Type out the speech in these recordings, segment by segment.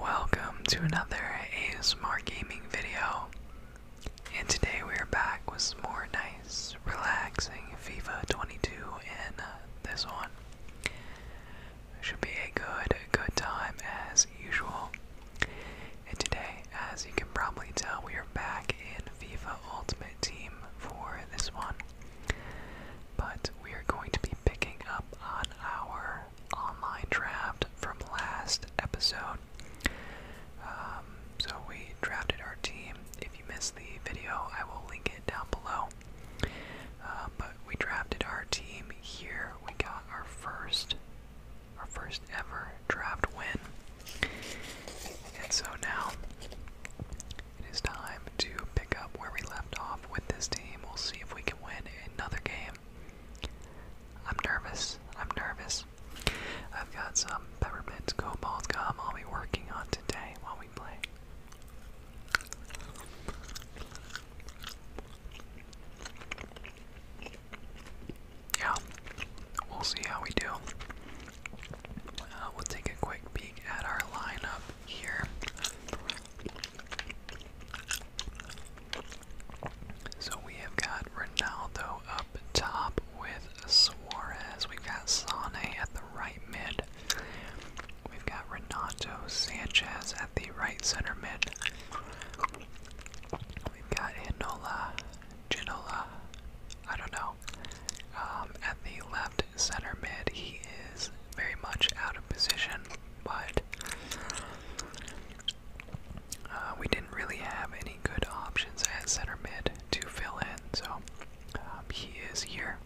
Welcome to another ASMR gaming video. And today we are back with more nice, relaxing FIFA 22 in uh, this one. Should be a good, good time as usual. And today, as you can probably tell, we are back in FIFA Ultimate Team for this one. But we are going to be picking up on our online draft from last episode. Um, so we drafted our team. If you missed the video, I will link it down below. Uh, but we drafted our team here. We got our first, our first ever draft win, and so now it is time to pick up where we left off with this team. We'll see if we can win another game. I'm nervous. I'm nervous. I've got some peppermint cobalt gum I'll be working on today while we play. Yeah, we'll see how we do. Uh, we'll take a quick peek at our lineup here. So we have got Ronaldo up top with Suarez. We've got Sane at the right mid. We've got Renato Sanchez at the right center mid. We've got Inola, Ginola, I don't know, um, at the left center mid. He is very much out of position, but uh, we didn't really have any good options at center mid to fill in, so um, he is here.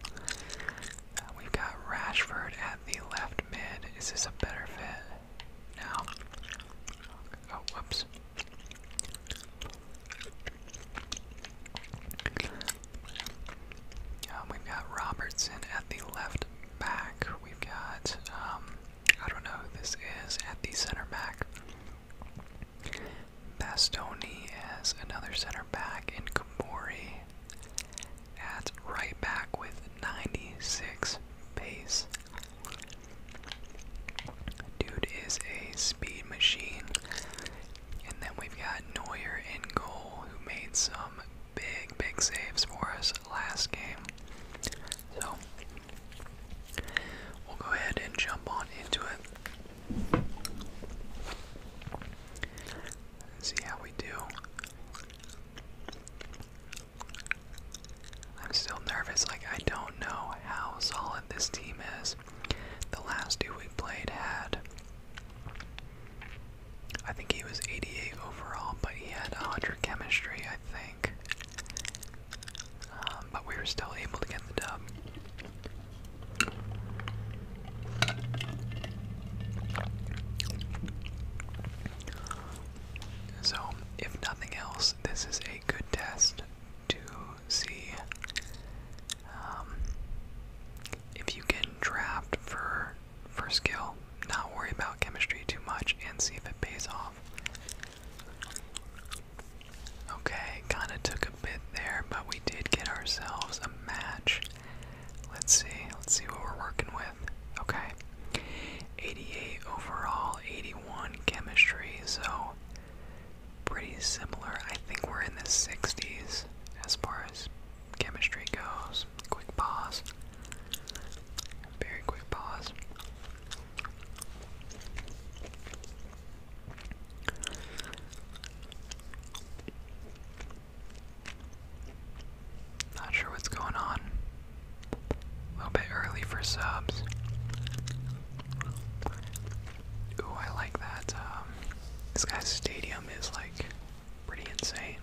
Uh, we've got Rashford at the left mid. Is this a better fit? No. Oh, whoops. Um, we've got Robertson at the left back. We've got, um, I don't know who this is, at the center back. Bastoni as another center back, In Kabori at right back with 96 pace. Dude is a speed machine. And then we've got Neuer in goal, who made some big, big saves for us last game. So we'll go ahead and jump on into it. see how we do. I'm still nervous, like, I don't know how solid this team is. The last two we played had I think he was 88 overall, but he had a 100 chemistry, I think. Um, but we were still able to get the dub. So, if nothing else, this is a good test to see um, if you can draft for for skill, not worry about chemistry too much, and see if it pays off. Okay, kind of took a bit there, but we did get ourselves a match. Let's see, let's see what we're working with. Okay, 88 overall, 81 chemistry, so pretty similar. I think we're in the 60s as far as chemistry goes. Quick pause. Very quick pause. Not sure what's going on. A little bit early for subs. Ooh, I like that. Um, this guy's stadium is like pretty insane.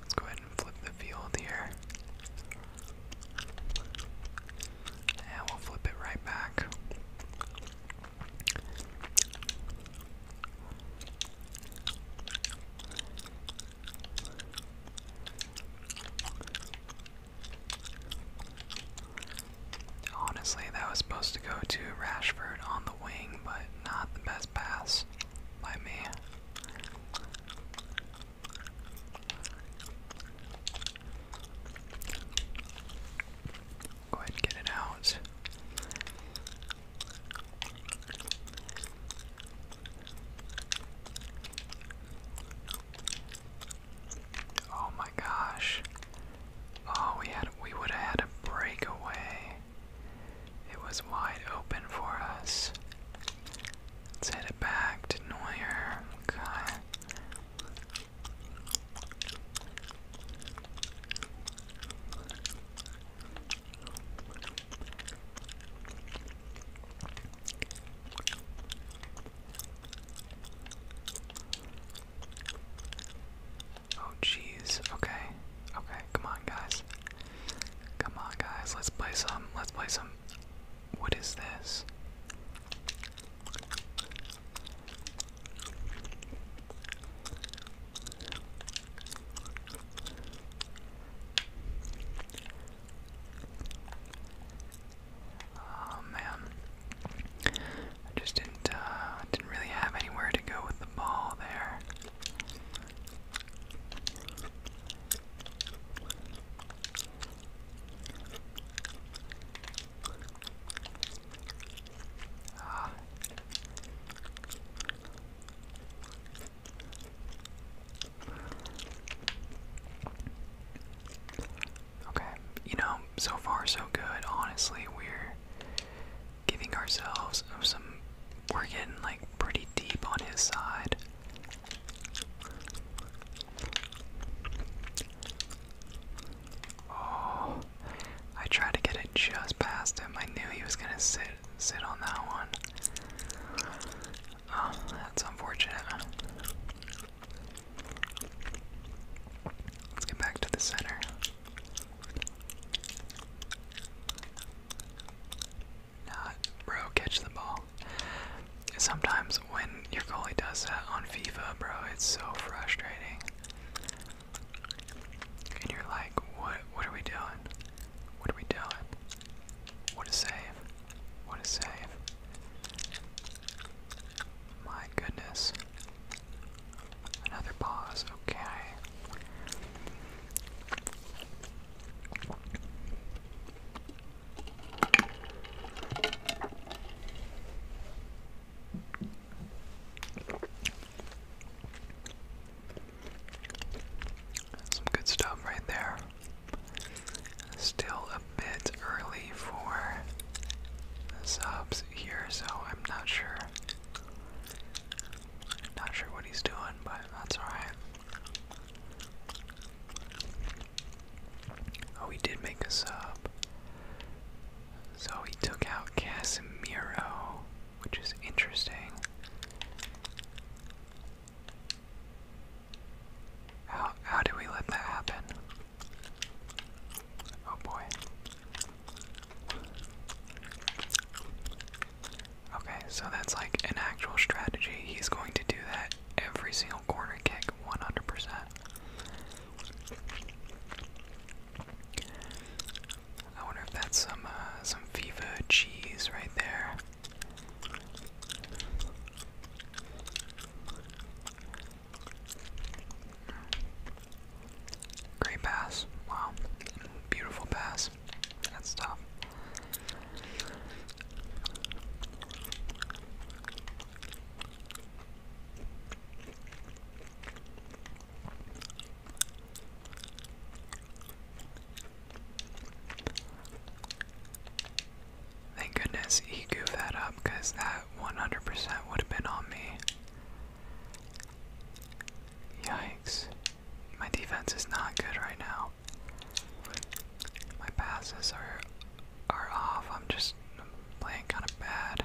Let's go ahead and flip the field here. And we'll flip it right back. Honestly, that was supposed to go to Rashford on the wing, but not the best pass by me. Go ahead get it out. Oh my gosh. Oh, we had we would have had a breakaway. It was wide open for us. let it back to Neuer. Okay. Oh jeez. Okay. Okay. Come on, guys. Come on, guys. Let's play some. Let's play some. What is this? Oh man, I just didn't uh, didn't really have anywhere to go with the ball there. Ah. Okay, you know, so far so good. Honestly, we're giving ourselves some. We're getting like pretty deep on his side. Oh, I tried to get it just past him. I knew he was gonna sit sit on that one. Oh, that's unfortunate. Let's get back to the center. Not, bro, catch the ball. Sometimes when your goalie does that on FIFA, bro, it's so frustrating. And you're like, what? What are we doing? What are we doing? What a save. What a save. My goodness. Another pause, okay. Some good stuff right there. Still a bit early for subs here, so I'm not sure. Not sure what he's doing, but that's alright. Oh, he did make a sub. So he took out Casimiro, which is interesting. How how do we let that happen? Oh boy. Okay, so that's like an actual strategy. He's going to do that every single corner kick 100%. I wonder if that's some uh, some FIFA cheese right there. Great pass. Wow. Beautiful pass. That's tough. Thank goodness he goofed that up because that 100% would have been on me. Yikes. My defense is not good right now. My passes are are off. I'm just playing kind of bad.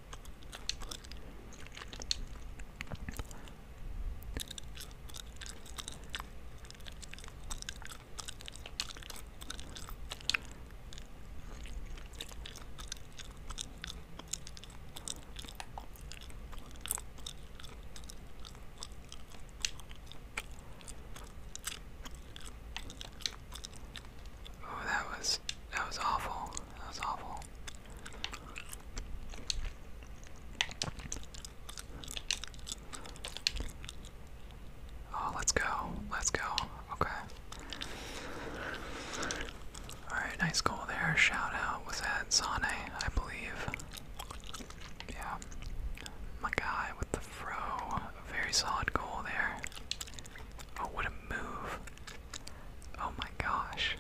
Oh, that was that was awful. That was awful. Oh, let's go. Let's go. Okay. Alright, nice goal there. Shout out. Was that Sane, I believe? Yeah. My guy with the fro. very solid goal there. Oh, what a move. Oh my gosh.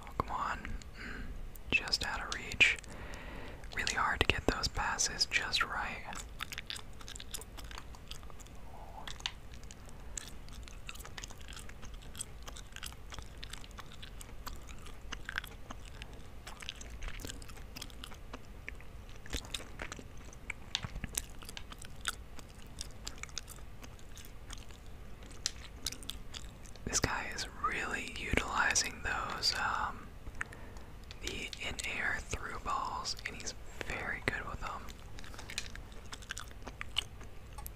Oh, come on. Mm, just out of reach. Really hard to get those passes just right. This guy is really utilizing those um, the in-air through balls and he's very good with them.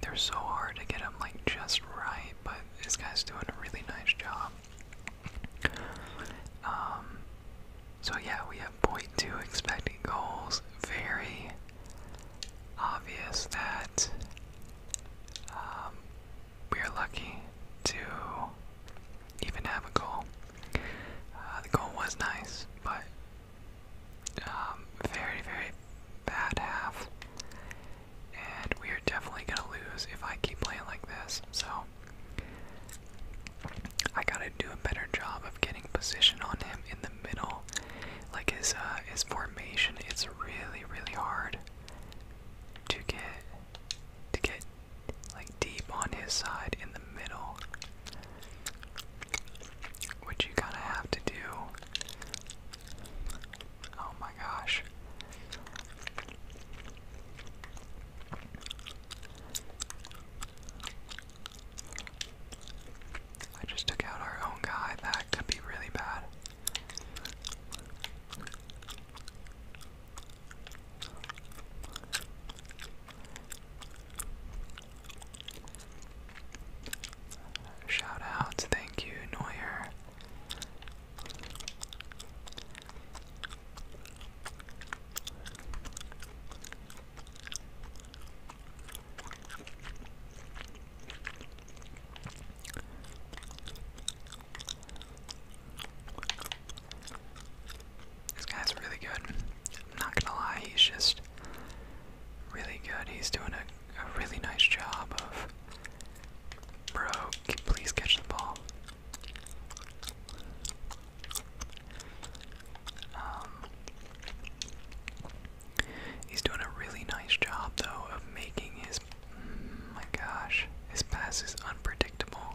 They're so hard to get them like just right, but this guy's doing a really nice job. Um, so yeah, we have 0.2 expected goals. Very obvious that um, we are lucky to even have a goal. Uh, the goal was nice, but um, very, very bad half. And we are definitely going to lose if I keep playing like this. So, I got to do a better job of getting position on him in the middle. Like his, uh, his formation, it's really, really hard to get, to get, like, deep on his side in the middle. Which you kind of have to do. Oh my gosh. I just took out our own guy. That could be really bad. Shout out, thank you, Neuer. This guy's really good. not gonna lie, he's just really good. He's doing a, really nice job of. Bro, please catch the ball. Um, he's doing a really nice job, though, of making his. Oh my gosh, his pass is unpredictable.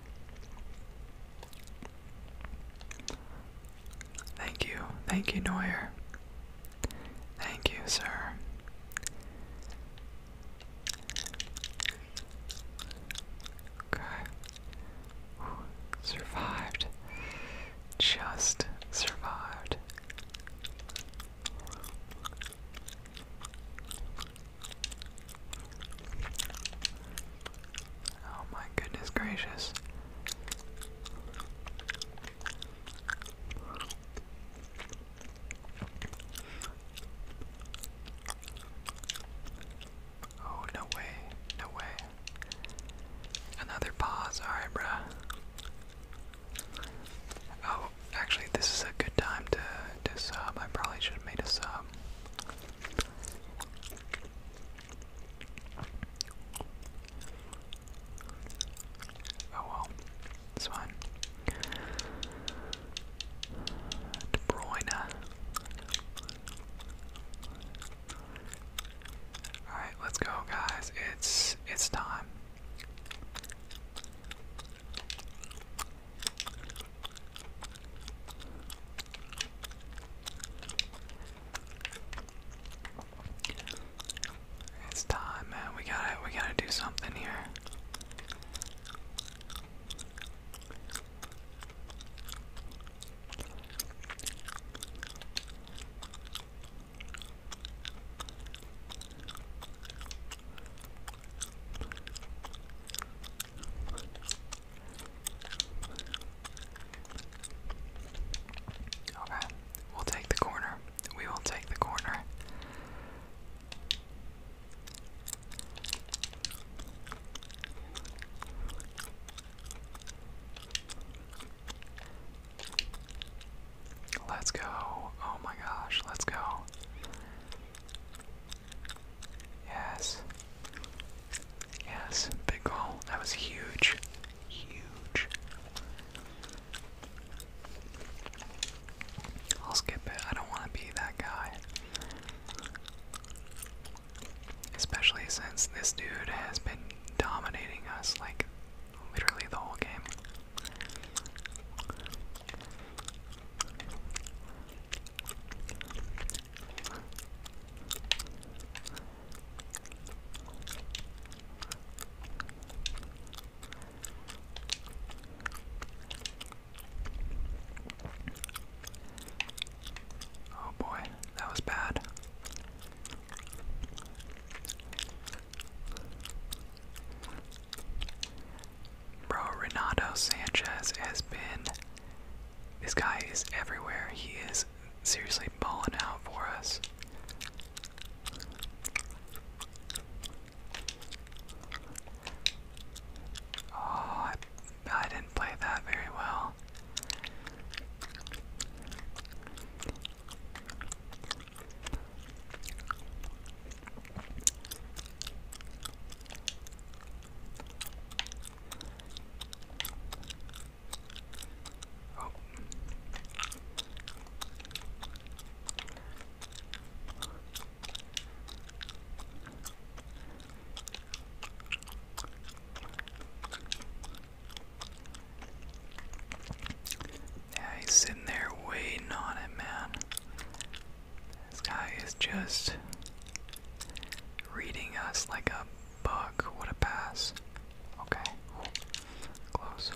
Thank you, thank you, Neuer. Thank you, sir. Okay. survived. Just survived. Oh my goodness gracious. Oh, no way, no way. Another pause, alright, bruh. Oh, actually, this is a good time to, to sub. I probably should have made a sub. Oh well, it's fine. All right, let's go, guys. It's it's time. It's time, man. We gotta, we gotta do something here. Okay, we'll take the corner. We will take the corner. Let's go. Oh my gosh, let's go. Yes. Yes, big goal. That was huge. Huge. I'll skip it. I don't want to be that guy. Especially since this dude has been dominating us like literally the whole game. Oh boy, that was bad. Bro, Renato Sanchez has been. This guy is everywhere. He is seriously balling out for us. Oh, I, didn't play that very well. Oh. Yeah, sitting there waiting on it, man. This guy is just reading us like a book. What a pass. Okay. Close.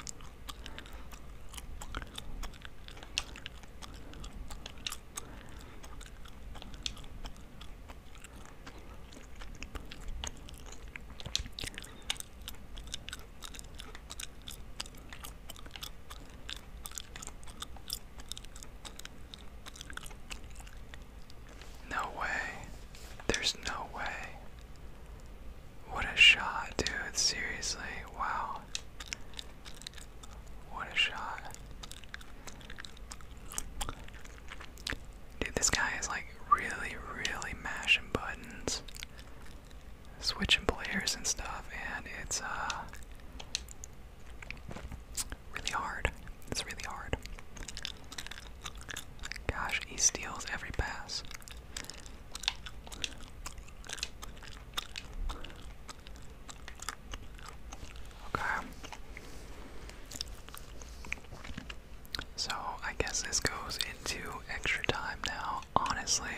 No way. There's no way. What a shot, dude. Seriously. Wow. What a shot. Dude, this guy is like really, really mashing buttons switching players and stuff, and it's uh, really hard. It's really hard. Gosh, he steals every pass. Okay. So I guess this goes into extra time now, honestly.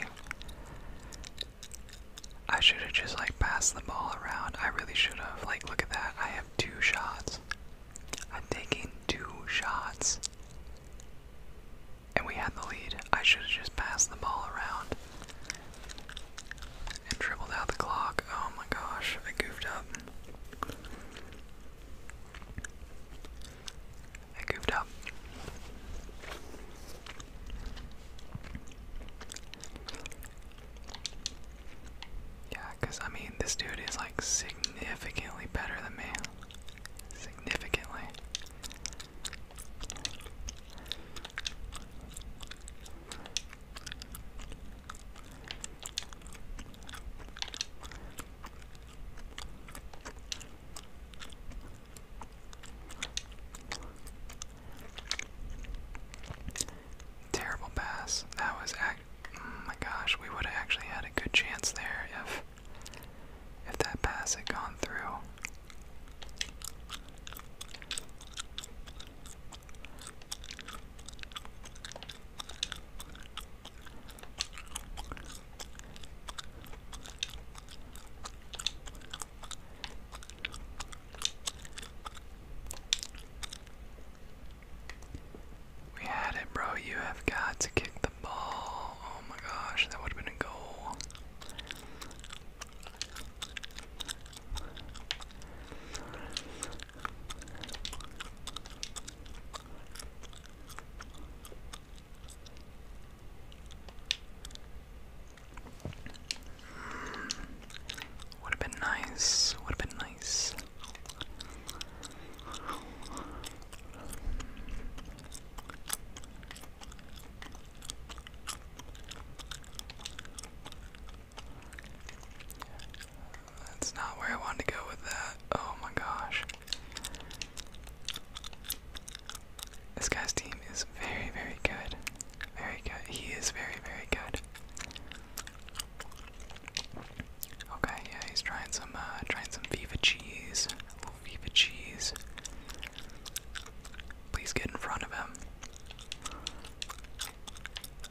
I should have just like passed the ball around. I really should have. Like, look at that. I have two shots. I'm taking two shots. And we had the lead. I should have just passed the ball around and dribbled out the clock. Oh my gosh, I goofed up. I goofed up. Yeah, because I mean, this dude is like significantly better than me. Significantly. Terrible pass. That was oh my gosh, we would have actually had a good chance there if if that pass had gone through. We had it, bro. You have got to kick the ball. Oh my gosh, that would have been a goal would have been nice. Would have been nice. That's not where I wanted to go with that. Oh my gosh. This guy's team is very, very good. Very good. He is very, very good. Okay, yeah, he's trying some, uh, trying some Viva cheese. little Viva cheese. Please get in front of him.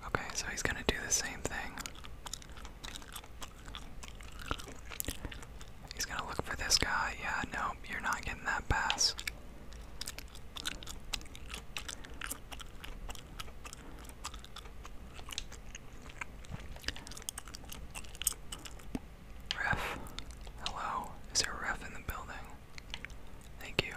Okay, so he's gonna do the same thing. He's gonna look for this guy. Yeah, nope, you're not getting that pass. Ref. Hello. Is there a ref in the building? Thank you.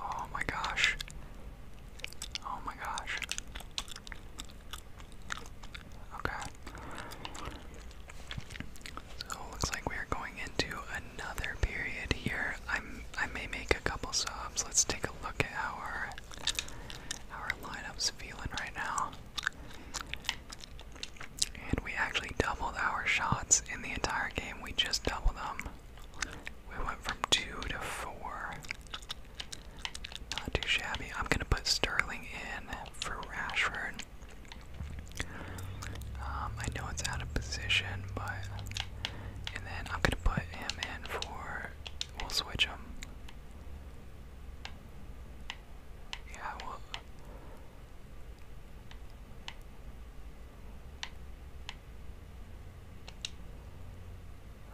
Oh my gosh. Oh my gosh. Okay. So it looks like we are going into another period here. I'm I may make a couple subs. Let's take a look at how our our lineup's feeling right now. And we actually doubled our shots in the entire game. We just doubled them. We went from two to four. Not too shabby. I'm gonna put Sterling in for Rashford. Um, I know it's out of position, but and then I'm gonna put him in for. We'll switch him. Yeah, we'll.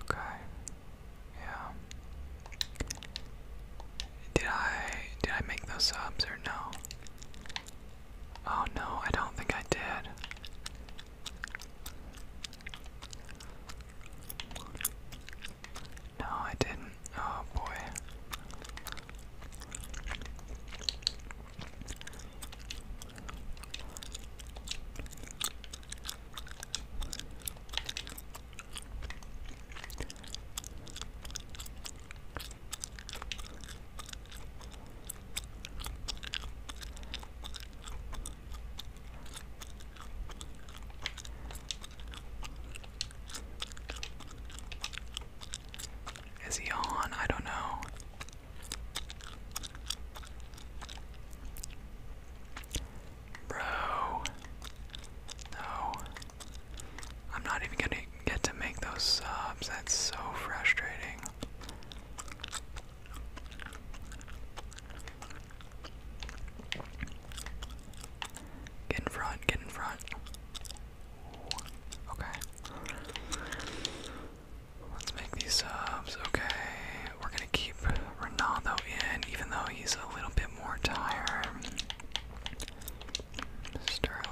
Okay. Yeah. Did I did I make those subs or no? Oh no, I don't think I did. No, I didn't. Oh boy. Is he on? I don't know. Bro. No. I'm not even gonna get to make those subs. That's so frustrating. Get in front, get in front. Okay. Let's make these subs. Okay. We're going to keep Ronaldo in, even though he's a little bit more tired. Sterling.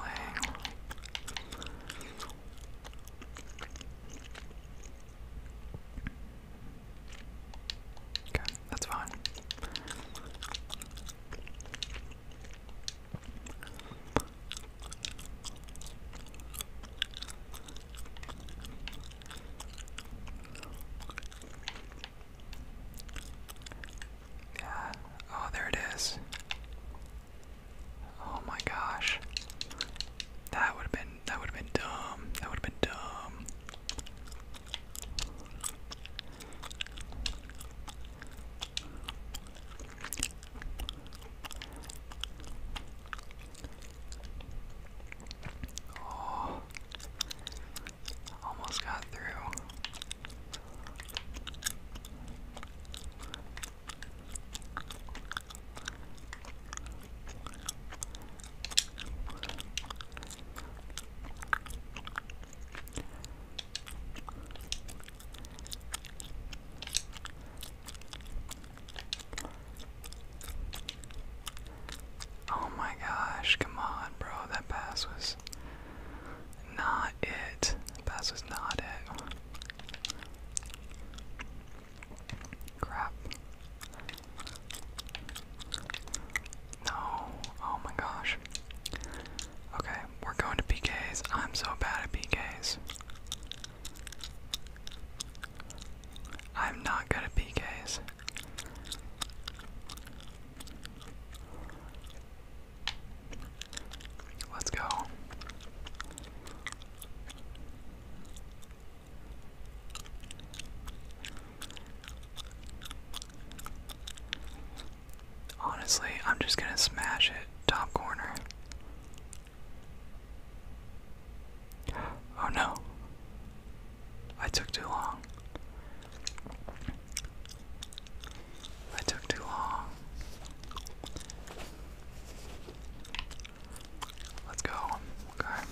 Okay, that's fine. Yeah. Oh, there it is. Oh my gosh. That would have been that would have been dumb. That would have been dumb. Oh, almost got through. Oh my gosh, come on, bro. That pass was not it. That was not it. Crap. No. Oh my gosh. Okay we're going to PKs. I'm so bad at PKs. I'm not good at PKs. Let's go. Honestly, I'm just gonna smash it top corner. Oh no. I took too long. I took too long. Let's go. Okay.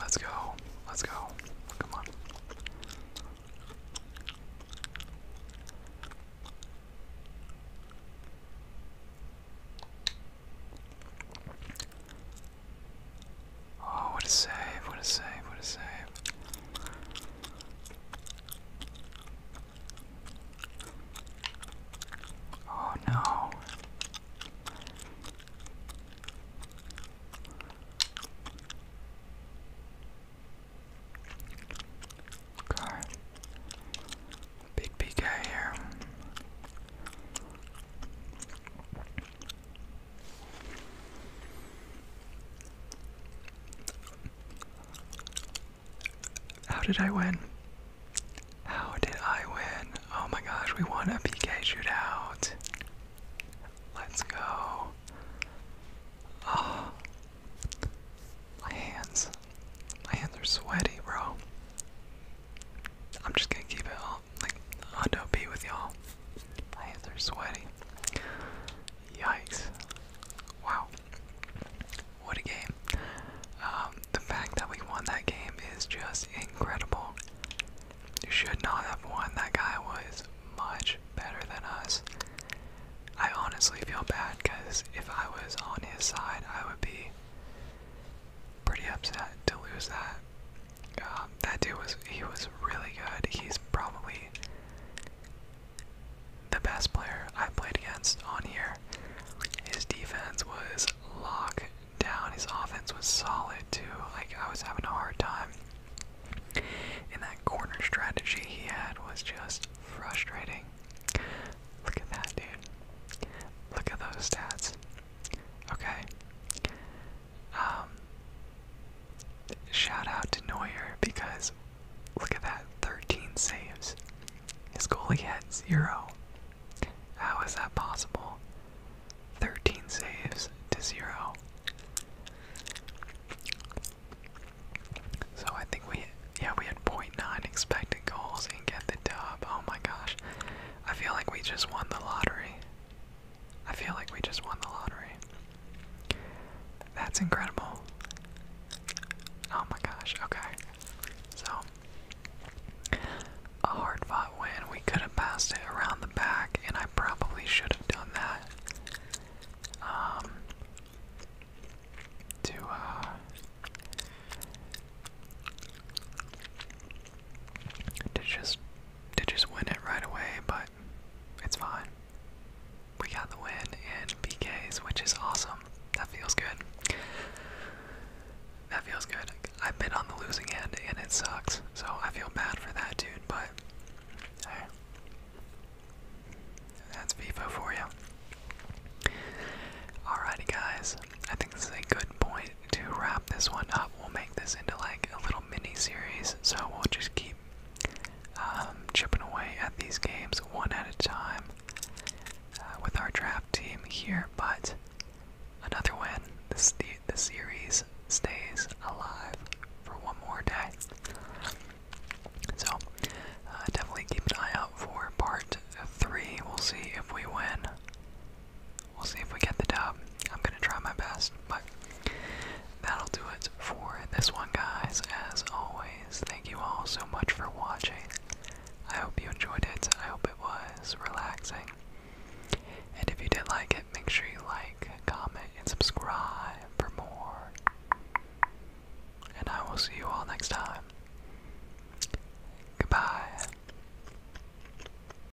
Let's go. Let's go. Come on. Oh, what a save, what a save, what a save. Oh no. Okay. Big PK here. How did I win? How did I win? Oh my gosh, we won a PK shootout. Let's go. Oh. My hands. My hands are sweaty, bro. I'm just gonna keep it all y'all. Like, Hundo be with y'all. My are sweaty. Yikes. Wow. What a game. Um, the fact that we won that game is just incredible. should not have won. That guy was much better than us. I honestly feel bad because if I was on his side, I would be pretty upset to lose that. Um, that dude was he was really good. He's probably the best player I played against on here. His defense was locked down. His offense was solid too. Like I was having a hard time. And that corner strategy he had was just frustrating. Look at that dude. Look at those stats. Okay. Um, shout out to Neuer because look at that 13 saves. His goalie had zero. How is that possible? 13 saves to zero. So I think we, yeah, we had 0.9 expected goals and get the dub. Oh my gosh. I feel like we just won the lottery. I feel like we just won the lottery. That's incredible. Oh my gosh, okay. So, a hard fought win. We could have passed it around the back, and I probably should have done that. Um, to, uh, to just to just win it right away, but it's fine. We got the win in PKs, which is awesome. That feels good. That feels good. I've been on the losing end, and it sucks. So I feel bad for that dude, but that's FIFA for you. Alrighty, guys. I think this is a good point to wrap this one up. We'll make this into like a little mini series, so we'll just keep um, chipping away at these games one at a time uh, with our draft team here. But another win, the, the series stays alive for one more day. So uh, definitely keep an eye out for part three. We'll see if we win. We'll see if we get the dub. I'm gonna try my best, but that'll do it for this one, guys. As always, thank you all so much for watching. I hope you enjoyed it. I hope it was relaxing. And if you did like it, make sure you like, comment, and subscribe for more. And I will see you all next time. Goodbye.